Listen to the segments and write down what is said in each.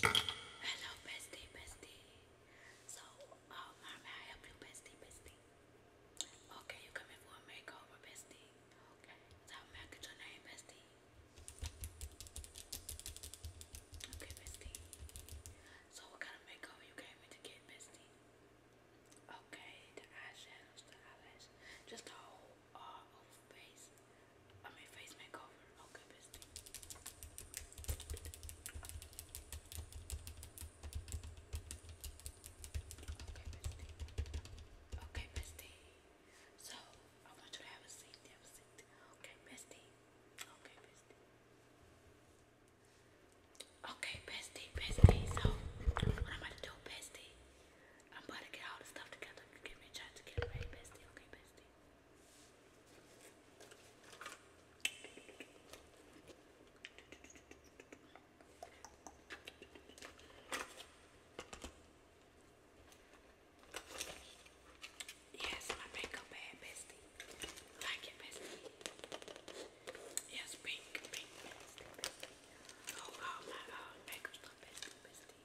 Hello, bestie, bestie. So, um, how may I help you, bestie, bestie? Okay, you coming for a makeover, bestie? Okay, so how your name, bestie? Okay, bestie. So, what kind of makeover you came in to get, bestie? Okay, the eyeshadows, the eyelash, just the uh, oh, face, I mean face makeover, okay bestie. Okay bestie, okay bestie, so I want you to have a seat, have a seat, okay bestie, okay bestie. Okay, bestie, bestie. So, what I'm about to do, bestie, I'm about to get all the stuff together. You give me a chance to get ready, bestie. Okay, bestie. Yes, my makeup bad, bestie. Like it, bestie. Yes, pink, pink, bestie, bestie. Oh, all my uh, makeup stuff, bestie, bestie.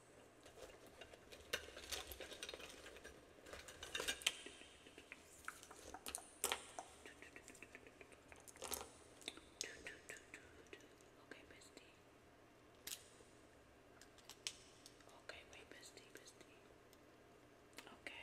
Okay, bestie. Okay, wait, bestie, bestie. Okay.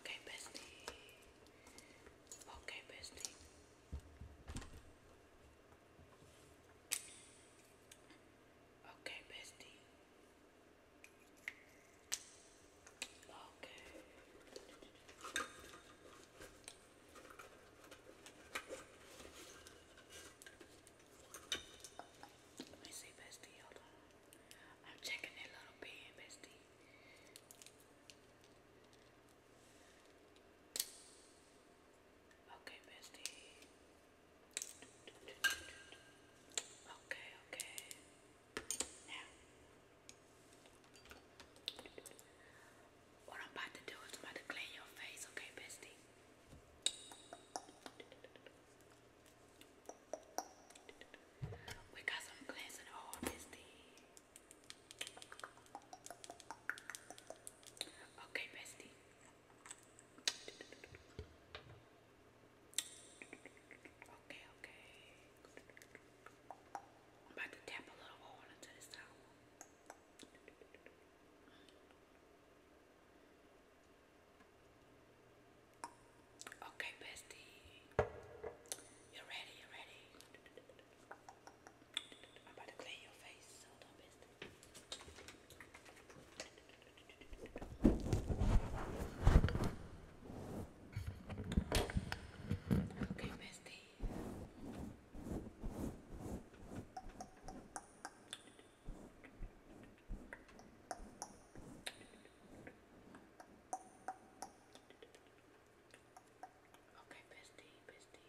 Okay, bestie. Okay, bestie. Okay, bestie. Okay. Let me see, bestie. I'm checking that little pen, bestie. Okay, bestie. Okay, okay. Now, what I'm about to do is I'm about to clean your face, okay, bestie? We got some cleansing oil, bestie. Okay, bestie. Okay, okay. I'm about to tap a little oil into this towel. Okay, bestie. you ready, you ready. About to clean your face, so don't miss it. Okay, bestie. Okay, bestie, bestie.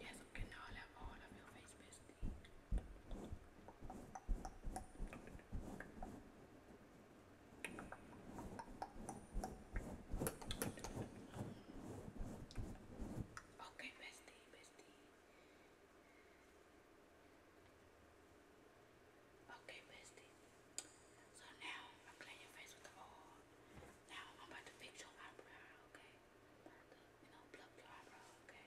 Yes, I'm getting all that all of your face, bestie. Okay, bestie, bestie. Okay, bestie. So now I'm cleaning your face with the oil. Now I'm about to fix your eyebrow, okay? you know, pluck your eyebrow, okay?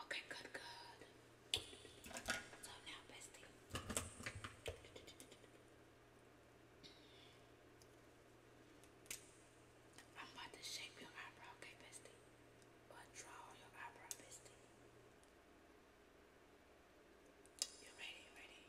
Okay, good, good. So now, bestie. I'm about to shape your eyebrow, okay, bestie? But draw your eyebrow, bestie. You ready? You ready?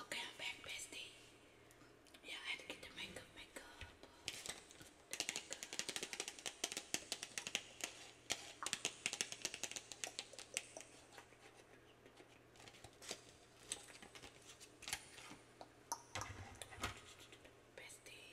Okay, I'm back, bestie. Yeah, I had to get the makeup, makeup, Bestie.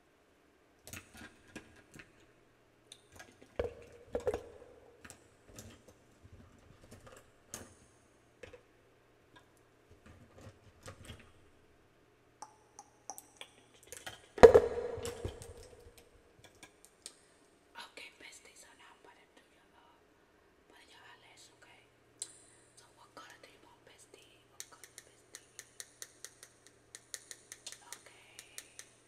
Okay, bestie, I'm gonna do your uh, put your eyelash, okay? So what color do you want, bestie? What color, bestie? Okay.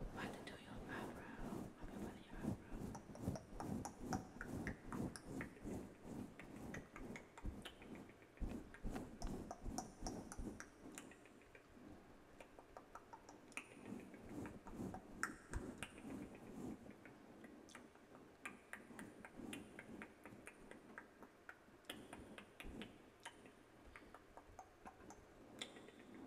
I'm about to do your eyebrow. I'm about to do your eyebrow. Okay,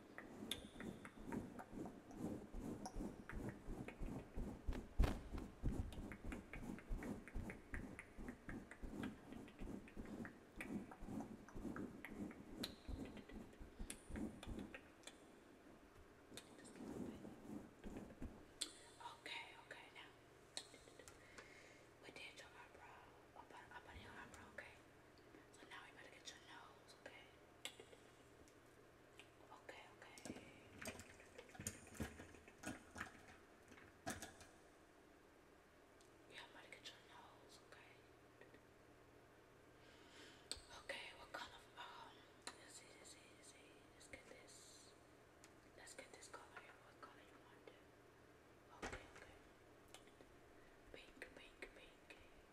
okay, now we did your eyebrow. I put, I put your eyebrow, okay? So now we better get your nose, okay? Okay, okay. Yeah, I'm gonna get your nose, okay? Okay, what color um let's see, let's see, let's see. Let's get this. Let's get this color What color you want Okay, okay. Pink, pink, pink.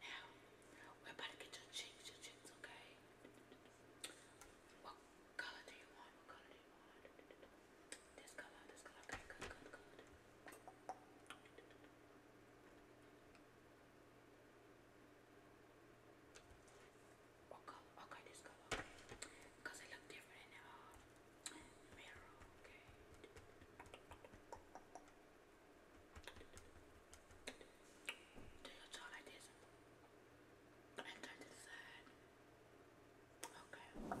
now, we about to get your cheeks, your cheeks, okay? What color do you want? What color do you want? This color, this color, okay, good, good, good. What Okay, this color, okay. Because they look different in the uh, mirror, okay? Do your jaw like this. And turn to the side. Okay.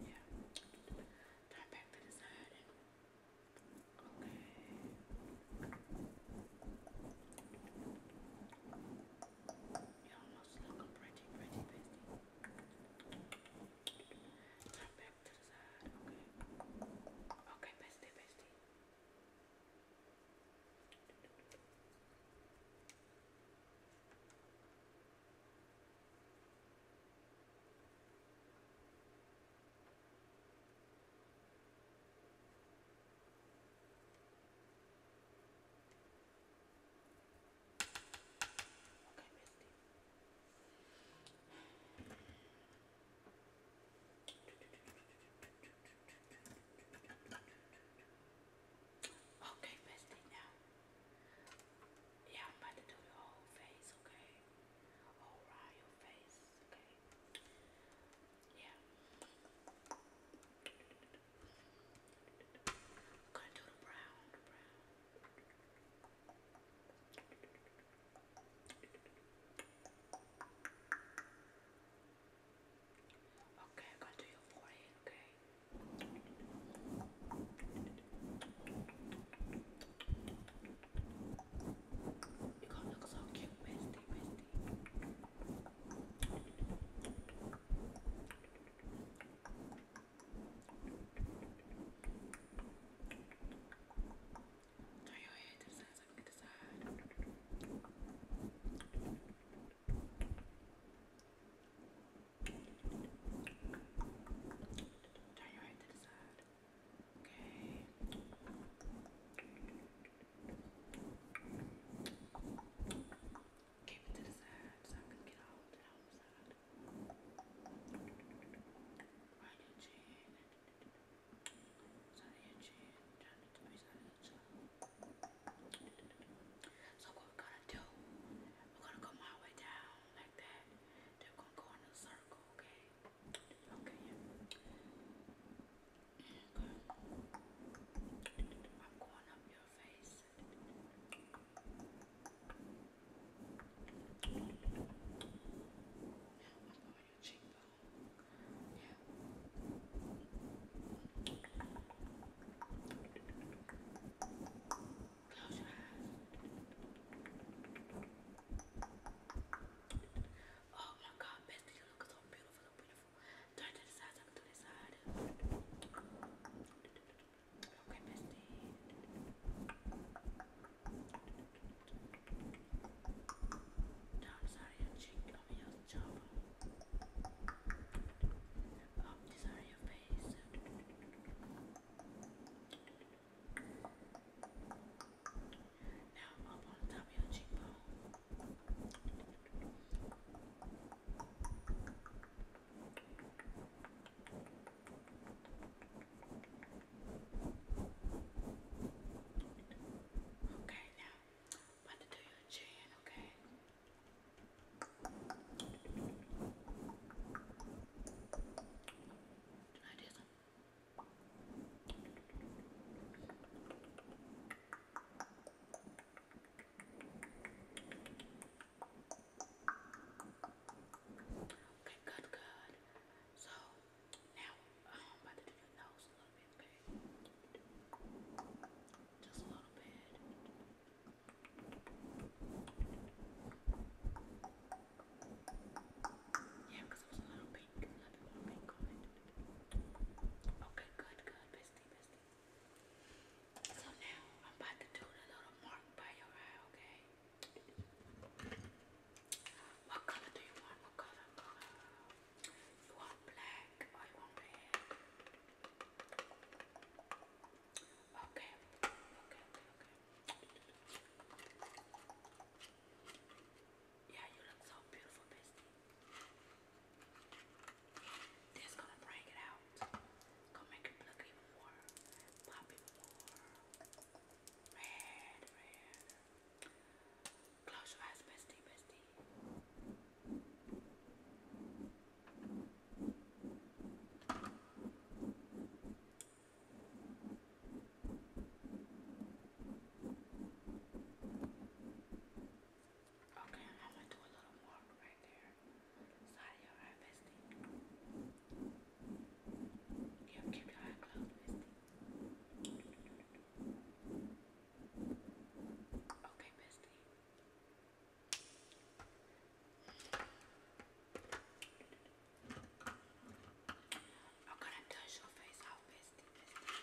Yeah. Turn back to the side. Okay. You almost look a pretty, pretty busy. Turn back back to the side. Okay. Okay, bestie, bestie. Okay, bestie. Okay, bestie, now. Yeah, I'm about to do your whole face, okay? All around your face, okay? Yeah. I'm gonna do the brown, the brown. Okay, I'm to do your forehead, okay? you gonna look so cute, bestie, bestie. Turn your head to the side so I can get the side. Turn your head to the side. Okay. Keep it to the side so I can get all the outside. Right your chin. Side of your chin. Down the tummy side of your chin. So what we're gonna do, we're gonna come all the way down like that. Then we're gonna go in a circle, okay? Okay, yeah. Good. I'm going up your face. Good. Close your eyes. Oh my god, bestie, you look so beautiful, so beautiful. Turn to the side, turn to the side. Okay, bestie sorry, your cheek, I mean your jaw. Up this area your face. Now up on top of your cheekbone. Now Okay, now I'm about to do your chin, okay? Like this one. Okay, good, good. So now I'm about to do the nose a little bit, okay? Just a little bit. Yeah, it was a little pink. A little pink Okay, good, good, bestie, bestie. So now I'm about to do the little mark by your eye, okay? What color do you want? What color? You want black or want red? Okay, okay, okay, okay. Yeah, you look so beautiful, bestie. This gonna bring it out. Gonna make it look even more, pop more. Close your eyes, bestie, bestie. Okay, I'm gonna do a little more right there. Side of your eye, bestie. Yep, keep your eye closed, Misty. Okay, Misty. I'm gonna touch your face off, Misty, Misty.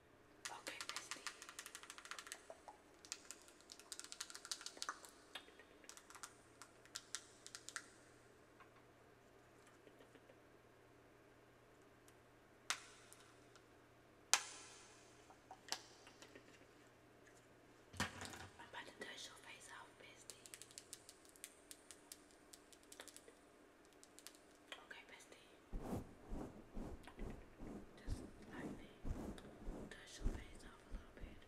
Okay, Misty. I'm about to touch your face off, Misty. Okay, bestie just lightly touch your face off a little bit.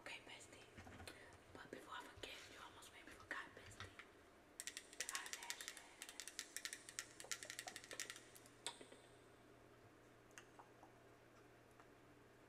Okay, bestie. But before I forget, you almost made me forget, bestie. The eyelashes.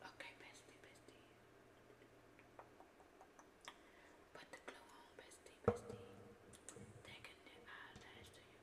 Okay, bestie, bestie. Put the glue on, bestie, bestie. Taking the eyelash to you.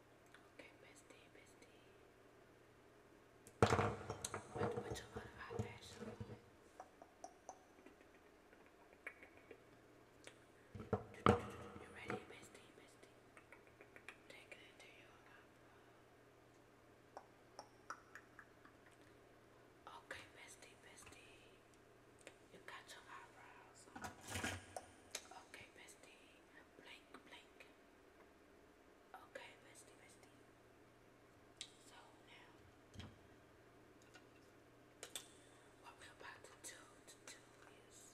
Okay, bestie, bestie. But with a lot You ready, bestie, bestie? Take it into your Okay, bestie, bestie. You got your eyebrows. Okay, bestie. Blink, blink. Okay, bestie, bestie. So now, what we about to do, to do is.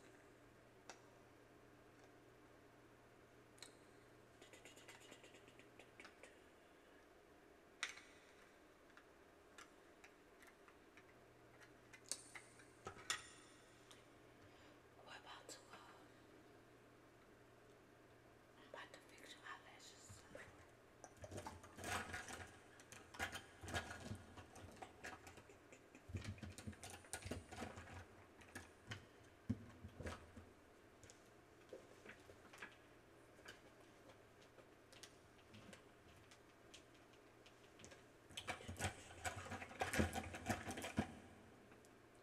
We're about to go. I'm about to fix your eyelashes.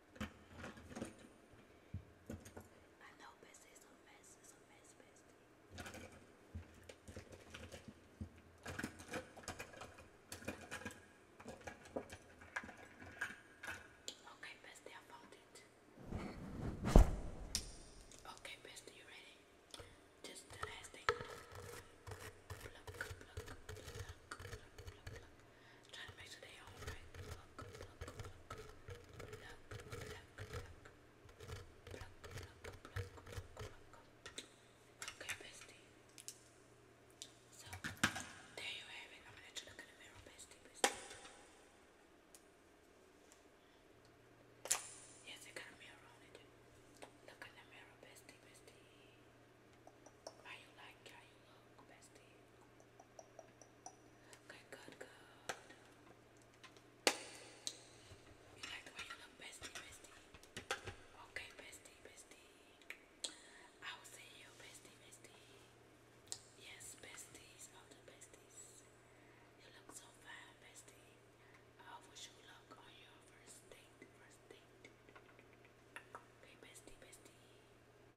I Okay, bestie, I found it. Okay, bestie, you ready? Just the last thing i to make sure all right. Okay, bestie. So, there you have it. I'm gonna let you look in the mirror, bestie, bestie. Yes, it got a mirror on Look in the mirror, bestie, bestie. How you like how you look, bestie? Good, good, good. You like the way you look, bestie, bestie. Okay, bestie, bestie. I will see you, bestie, bestie. Yes, besties, all the besties. You look so fine, bestie. How would you look on your first date? First date. Okay, bestie, bestie.